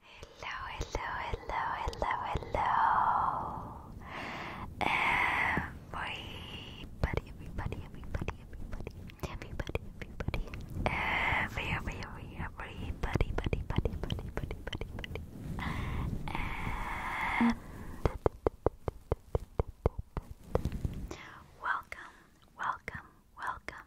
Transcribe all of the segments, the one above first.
Hello, hello, hello, hello, hello. Everybody, everybody, everybody, everybody, everybody, everybody, every, every, every, everybody, buddy, buddy, buddy, buddy, buddy, buddy. And welcome, welcome, welcome,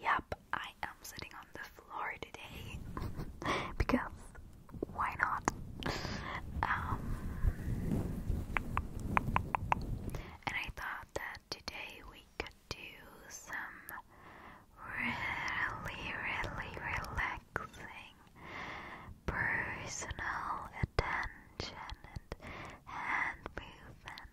Yep, I am sitting on the floor today because why not? Um, and I thought that today we could do some really, really relaxing personal attention and hand movement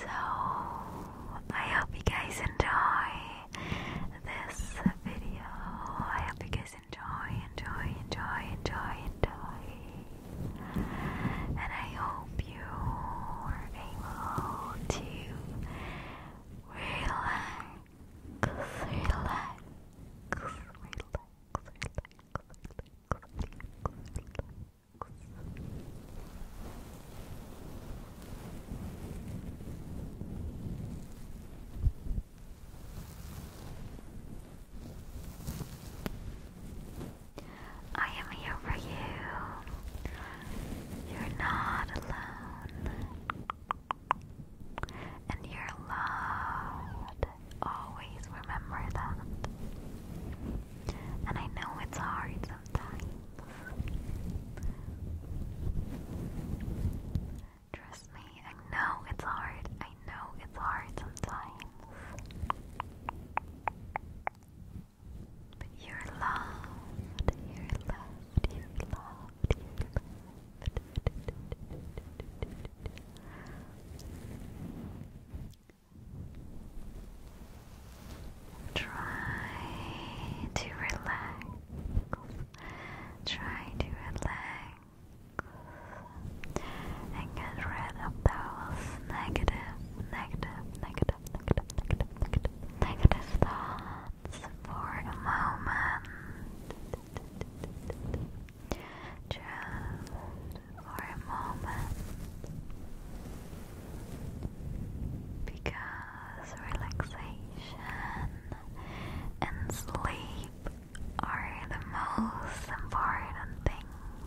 So, I hope you guys enjoy this video. I hope you guys enjoy, enjoy, enjoy, enjoy, enjoy. And I hope you are able to relax, relax, relax, relax. I am here for you. You're not alone. And you're loved always remember that. And I know it's hard sometimes. Trust me, I know it's hard. I know it's hard sometimes. But you're loved, you're loved, you Try to relax. Try to relax and get rid of those negative, negative, negative, negative, negative, negative, negative thoughts for a moment just for a moment because relaxation and sleep are the most important things.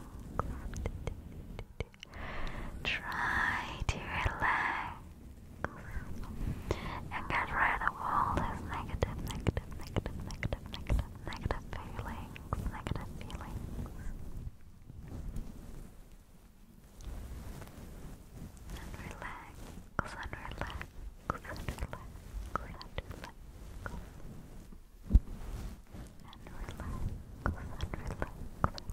Try to relax and get rid of all this negative, negative, negative, negative negative, negative, negative feelings, negative feelings. And relax, and relax, and relax, and relax. And relax, and relax,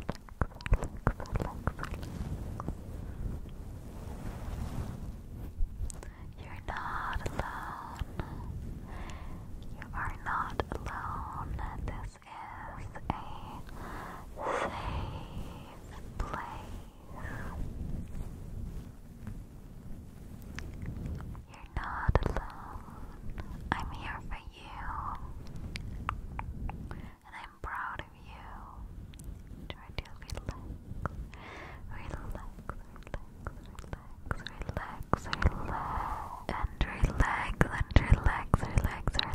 you're not alone. You are not alone. This is a safe place. You're not alone. I'm here for you. And I'm proud of you. Try to relax. Relax relax, relax, and relax, relax, relax, relax, relax, relax. Relax. Relax.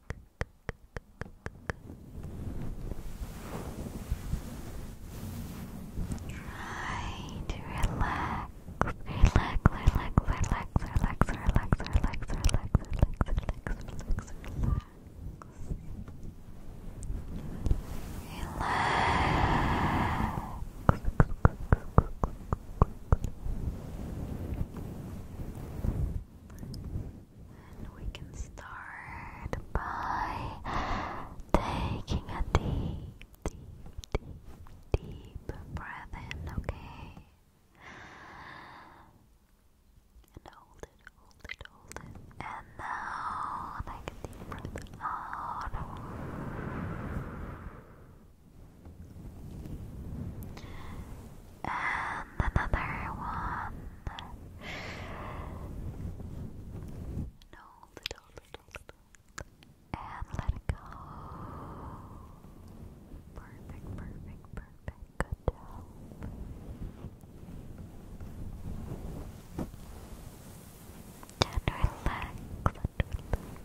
Right, relax, relax, relax, relax, relax, relax, relax, relax, relax, relax, relax, relax. Relax. And we can start by taking a deep, deep, deep, deep breath in, okay? And hold it, hold it, hold it. And now take a deep breath out. And another one. No, little, little, And let it go. Perfect, perfect, perfect. Good job. And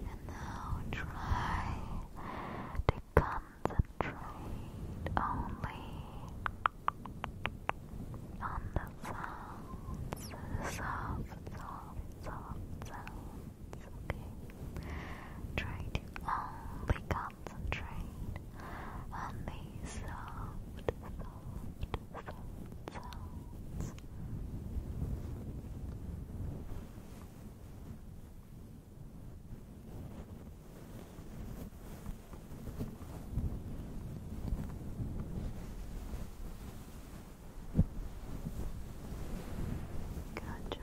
and now try to concentrate only on the sounds, soft, soft, soft sounds. Try to only concentrate on these soft, soft, Good job.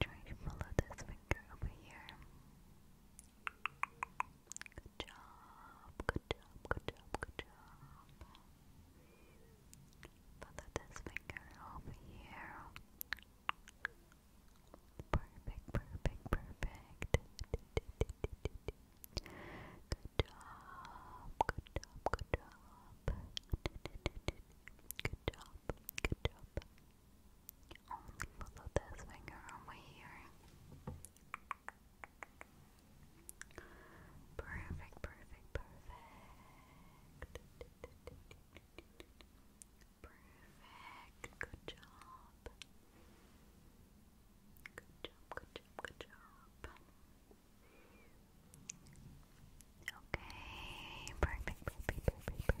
Try to follow this finger over here. Good job, good job, good job, good job. Follow this finger over here. Perfect, perfect, perfect. Good job, good job, good job. Good job, good job, up. Only follow this finger over here. Perfect, perfect, perfect. Perfect. Good job. Good job, good job, good job. Okay, relax, relax, relax.